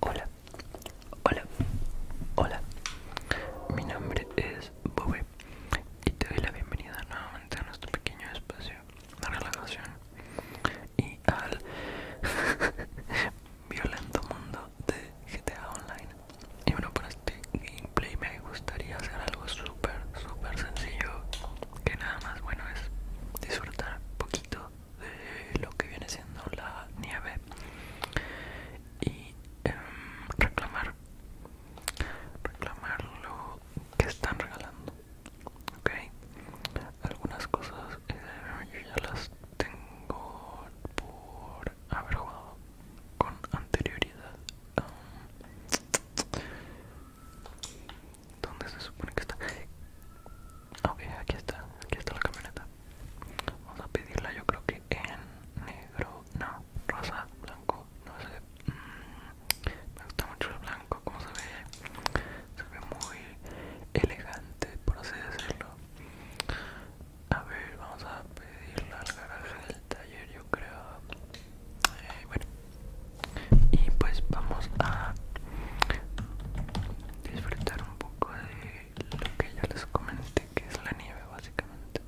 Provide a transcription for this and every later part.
Hola, hola, hola. Mi nombre es Bobe y te doy la bienvenida nuevamente a nuestro pequeño espacio de relajación y al violento mundo de GTA Online. Y bueno, para este gameplay me gustaría hacer algo super sencillo que nada más bueno es disfrutar poquito de lo que viene siendo la nieve y em, reclamar reclamar lo que están regalando ok algunas cosas eh, yo ya las tengo por haber jugado con anterioridad ¿Dónde se supone que está? Ok, aquí está, aquí está la camioneta. Vamos a pedirla, yo creo que en negro, no, rosa, blanco, no sé. Mm, me gusta mucho el blanco, como se ve. Se ve muy elegante, por así decirlo. A ver, vamos a pedirla al garaje del taller, yo creo bueno y pues vamos a disfrutar un poco de lo que ya les comenté que es la nieve básicamente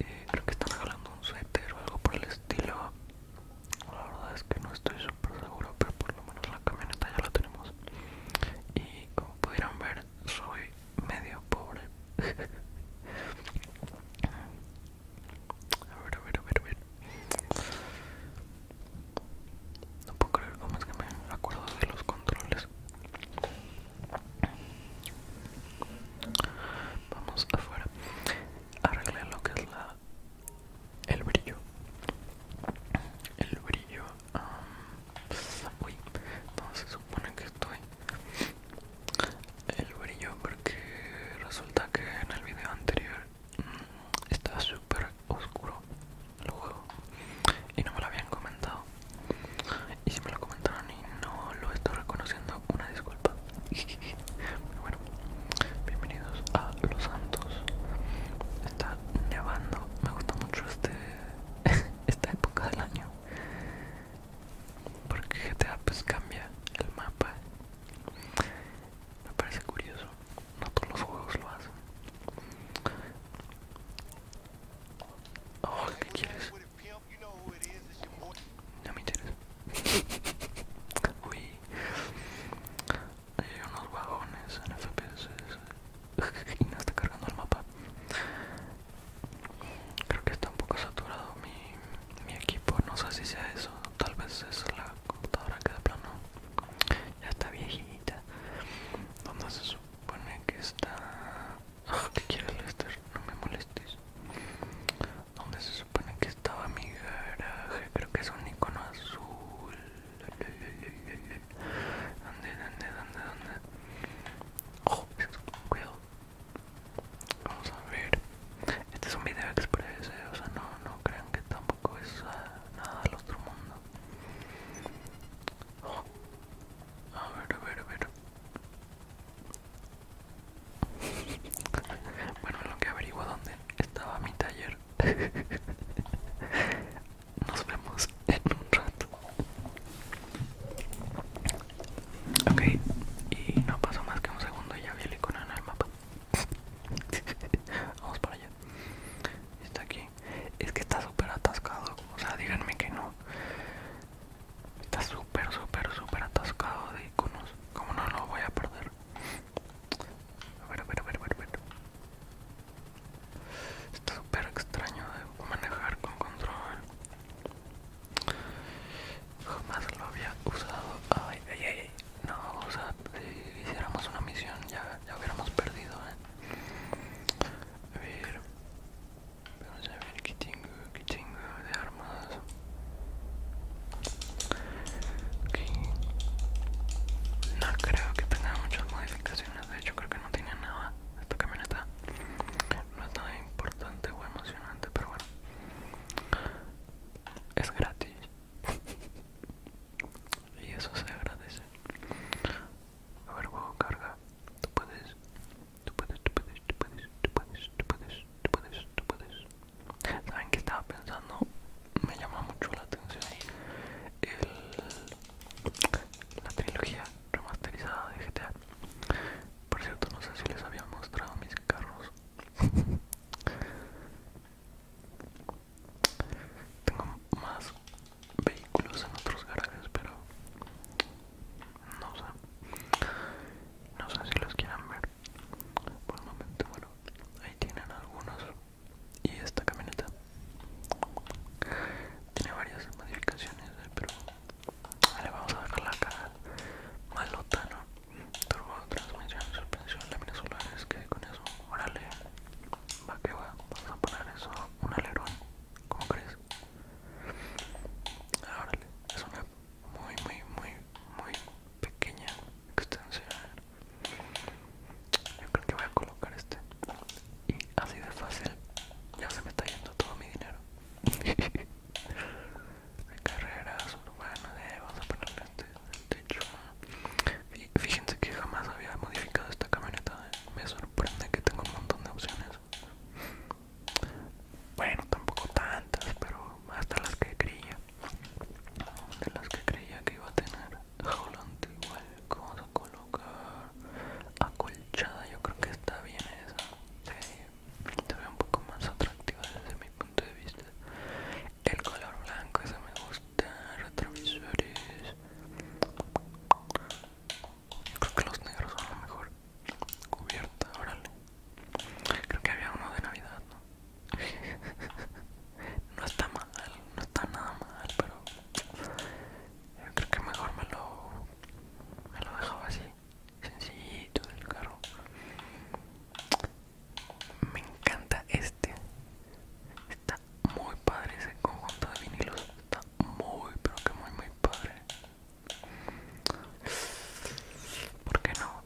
eh, creo que están regalando un suéter o algo por el estilo la verdad es que no estoy súper seguro pero por lo menos la camioneta ya la tenemos y como pudieron ver soy medio pobre A ver, a ver, a ver, a ver. No puedo creer cómo es que me acuerdo de los controles. Vamos afuera. Arreglé lo que es la el brillo. El brillo. uy, no se supone que estoy el brillo porque resulta que en el video anterior está mm, estaba súper oscuro el juego y no me lo habían comentado y si me lo comentaron y no lo estoy reconociendo una disculpa bueno bienvenidos a los santos está nevando me gusta mucho este esta época del año porque GTA pues cambia el mapa me parece curioso, no todos los juegos lo hacen. Oh, ¿qué quieres? No me interesa. Uy, hay unos vagones en FPS y no está cargando el mapa. Creo que está un poco saturado mi, mi equipo no sé si sea eso tal vez es la computadora que de plano ya está viejita donde se supone que está ah, ¿Qué no me molestes donde se supone que estaba mi garaje creo que es un icono azul ¿Dónde, dónde, dónde, dónde? Oh, cuidado, Vamos a ver. Este es un video express, o sea, no, crean que tampoco es nada del otro mundo. Oh. A ver, a ver, a ver. Bueno, lo que averiguo dónde estaba mi taller. Nos vemos en un rato. Ok, y no pasó más que un segundo y ya vi el icono en el mapa. Vamos para allá. Está aquí. Es que está súper atascado. O sea, díganme que no. Está súper, súper, súper atascado de iconos. Como no lo voy a perder. A ver, a ver, a ver, a ver. Está súper extraño de manejar con control. Jamás lo había usado. Ay, ay, No, o sea, si hiciéramos una misión ya, hubiéramos perdido, ¿eh? A ver. Vamos a ver qué tengo, qué tengo de armas. No creo que tenga muchas modificaciones. De hecho, creo que no tiene nada. Esta camioneta no es nada importante o emocionante, pero bueno es gratis y eso se agradece a ver juego carga tú puedes tú puedes tú puedes tú puedes tú puedes tú puedes tú puedes saben que estaba pensando me llama mucho la atención el, la trilogía remasterizada de GTA por cierto no sé si les había mostrado mis carros Tengo más vehículos en otros garajes, pero no sé. No sé si los quieran ver. Por el momento, bueno, ahí tienen algunos. Y esta camioneta tiene varias modificaciones, eh, pero vale, vamos a dejarla acá malota, ¿no? turbo transmisión, suspensión, láminas solares, que con eso, órale, va que va, vamos a poner eso, un alerón, ¿cómo crees? Ah, órale, es una muy, muy, muy, muy pequeña extensión. Yo creo que voy a colocar este. Y así de fácil, ya se me está yendo todo mi dinero. de carreras urbanas, eh, vamos a ponerle este techo. Este fíjense que jamás había modificado esta camioneta, eh. me sorprende que tengo un montón de opciones. Bueno, tampoco tantas, pero hasta las que creía. De las que creía que iba a tener. Jolante igual, eh, vamos a colocar acolchada, yo creo que está bien esa se un poco más atractiva desde mi punto de vista el color blanco ese me gusta retrovisores yo creo que los negros son lo mejor cubierta órale creo que había uno de navidad no no está mal no está nada mal pero yo creo que mejor me lo me lo dejaba así sencillito del carro me encanta este está muy padre ese conjunto de vinilos está muy pero que muy muy padre ¿Por qué no?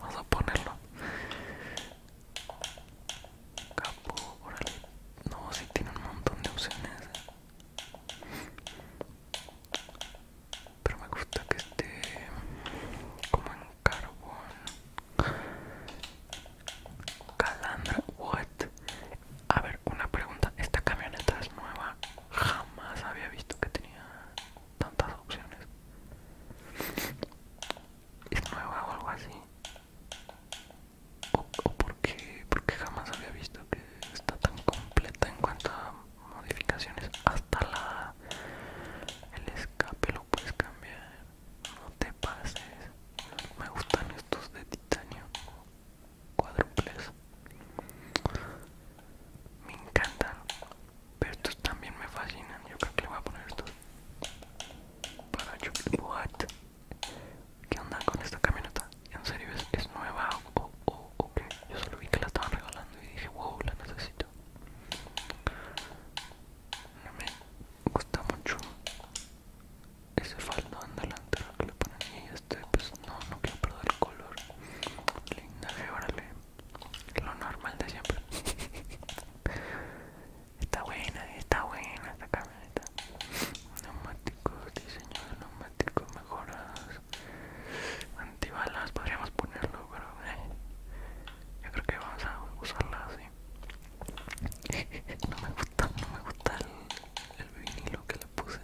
Vamos a ponerlo. Capo, órale. No, si tiene un montón de opciones pero me gusta que esté como en carbón calandra what a ver una pregunta esta camioneta es nueva jamás había visto que tenía tantas opciones es nueva o algo así o, porque porque jamás había visto que está tan completa en cuanto a modificaciones hasta la el escape lo puedes cambiar no te pases me gustan estos de titanio cuádruples me encantan pero estos también me fascinan yo creo que le voy a poner estos para chocolate what ¿Qué onda con esta camioneta? ¿En serio es, es nueva o, oh, ok. Yo solo vi que la estaban regalando y dije, wow, la necesito. me gusta mucho ese faldón delantero que le ponen y este, pues no, no quiero perder el color. Linda, órale. Lo normal de siempre. está buena, está buena esta camioneta. Neumáticos, diseño de neumáticos mejorados antibalas podríamos ponerlo pero eh, yo creo que vamos a usarla así no me gusta no me gusta el, vinilo que le puse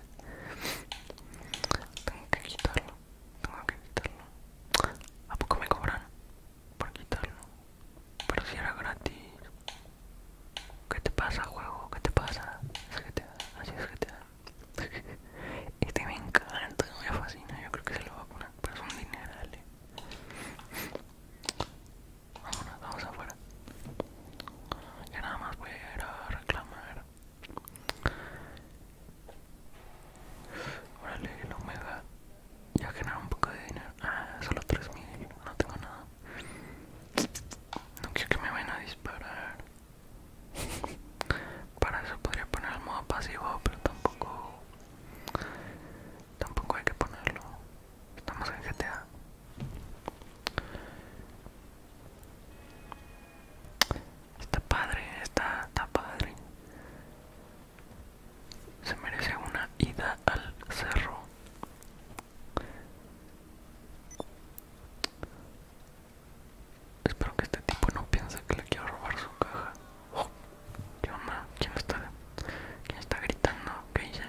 tengo que quitarlo tengo que quitarlo a poco me cobran por quitarlo pero si era gratis ¿Qué te pasa, juego? ¿Qué te pasa? Es que Así es que te da. Este me encanta, me fascina, yo creo que se lo va a poner, pero es un Vámonos, vamos afuera. Ya nada más voy a ir a reclamar. Órale, me Omega. Ya generar un poco de dinero. Ah, solo 3000, no tengo nada. No quiero que me vayan a disparar. Para eso podría poner el modo pasivo, pero tampoco tampoco hay que ponerlo. Estamos en GTA. Está padre, está, está padre. Se merece una ida al cerro. Espero que este tipo no piense que le quiero robar su caja. Oh, ¿Qué onda? ¿Quién está, ¿Quién está gritando? ¿Qué hice?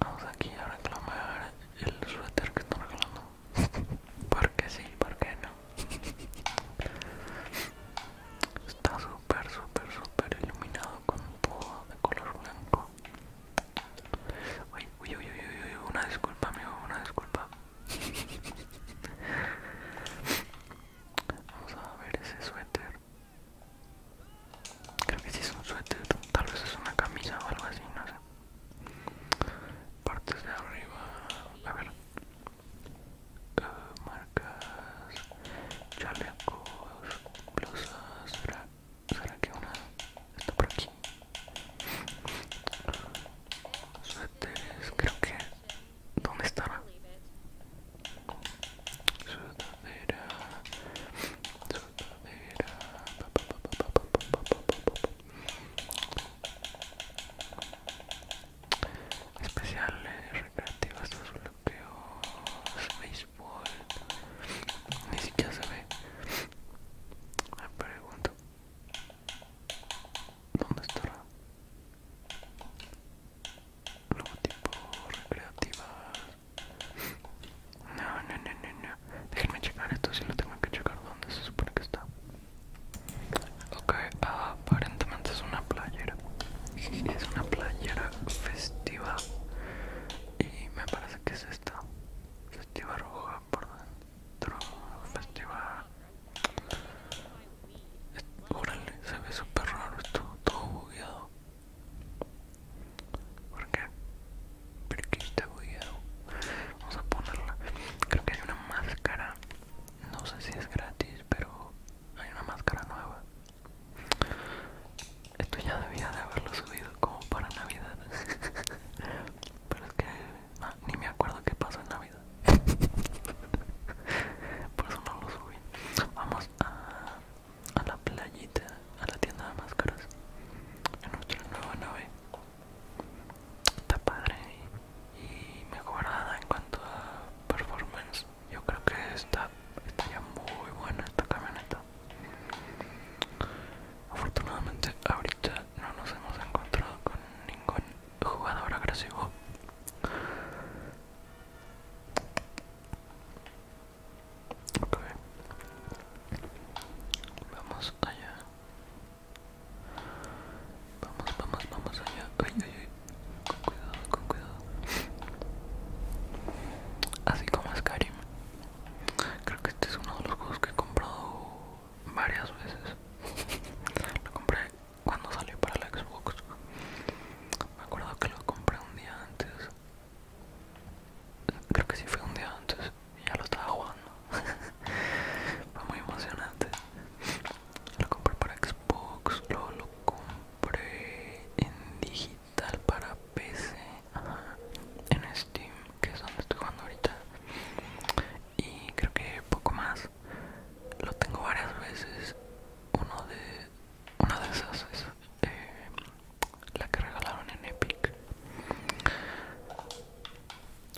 Vamos aquí a reclamar el suéter que está ¿Por qué sí, ¿Por qué no. Está súper, súper, súper iluminado con un poco de color blanco. Uy, uy, uy, uy, uy, una disculpa, amigo, una disculpa. Vamos a ver ese suéter. Creo que si es un suéter, tal vez es una camisa o algo así, no sé. Partes de arriba, a ver. marcas, chalecos, blusas, será que una Está por aquí. Suéteres, creo que. ¿Dónde estaba? Sudadera. Sudadera. Especiales, recreativas, bloqueos, béisbol. Ni siquiera se ve. Me pregunto ¿Dónde estará? Logotipo recreativas. No, no, no, no, no. Déjenme checar esto si lo tengo que checar. ¿Dónde se supone que está? Ok, aparentemente es una playera. Es una playera festiva. Y me parece que es esta. Festiva roja por dentro festival Órale, se ve súper raro esto, todo bugueado ¿Por qué? ¿Por qué está bugueado? Vamos a ponerla Creo que hay una máscara No sé si es gratis, pero hay una máscara nueva Esto ya debía de haberlo subido como para Navidad Pero es que Ah, ni me acuerdo qué pasó en Navidad. Por eso no lo subí. Vamos a, la playita, a la tienda de máscaras. En nuestra nueva nave. Está padre y, mejorada en cuanto a performance. Yo creo que está, está ya muy buena esta camioneta. Afortunadamente ahorita no nos hemos encontrado con ningún jugador agresivo. Ok. Vamos allá. Vamos, vamos, vamos allá. Ay, ay, ay. Con cuidado, con cuidado. Así como es Karim Creo que este es uno de los juegos que he comprado varias veces. lo compré cuando salió para la Xbox. Me acuerdo que lo compré un día antes. Creo que sí fue un día antes. Y ya lo estaba jugando. fue muy emocionante. Lo compré para Xbox. Luego lo compré en digital para PC. Steam, que es donde estoy jugando ahorita. Y creo que poco más. Lo tengo varias veces. Uno de, una de esas es eh, la que regalaron en Epic.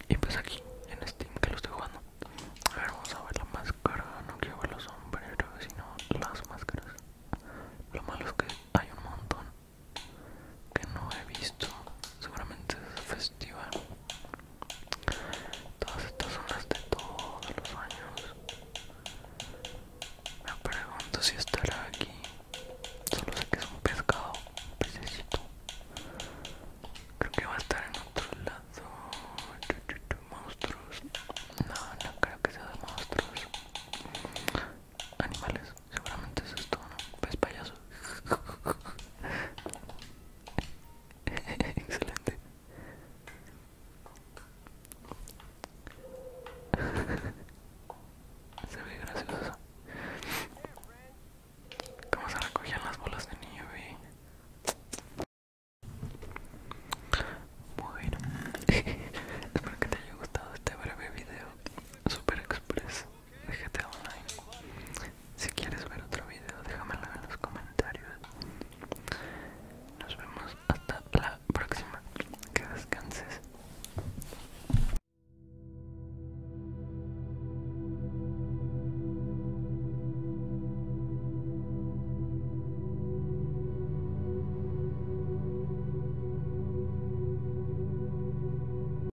Y pues aquí, en Steam, que lo estoy jugando. A ver, vamos a ver la máscara. No quiero ver los sombreros, sino las máscaras. Lo malo es que hay un montón que no he visto seguramente es festival todas estas zonas de todos los años me pregunto si estará aquí solo sé que es un pescado un pececito creo que va a estar en otro lado monstruos no no creo que sea de monstruos animales Seguramente eso es todo, ¿no? ¿Ves, pues, payaso. Excelente. Se ve gracioso. ¿Cómo se recogían las bolas de nieve? Bueno, espero que te haya gustado este breve video super express Déjate Online. Si quieres ver otro video, déjamelo en los comentarios. Nos vemos hasta la próxima. Que descanses.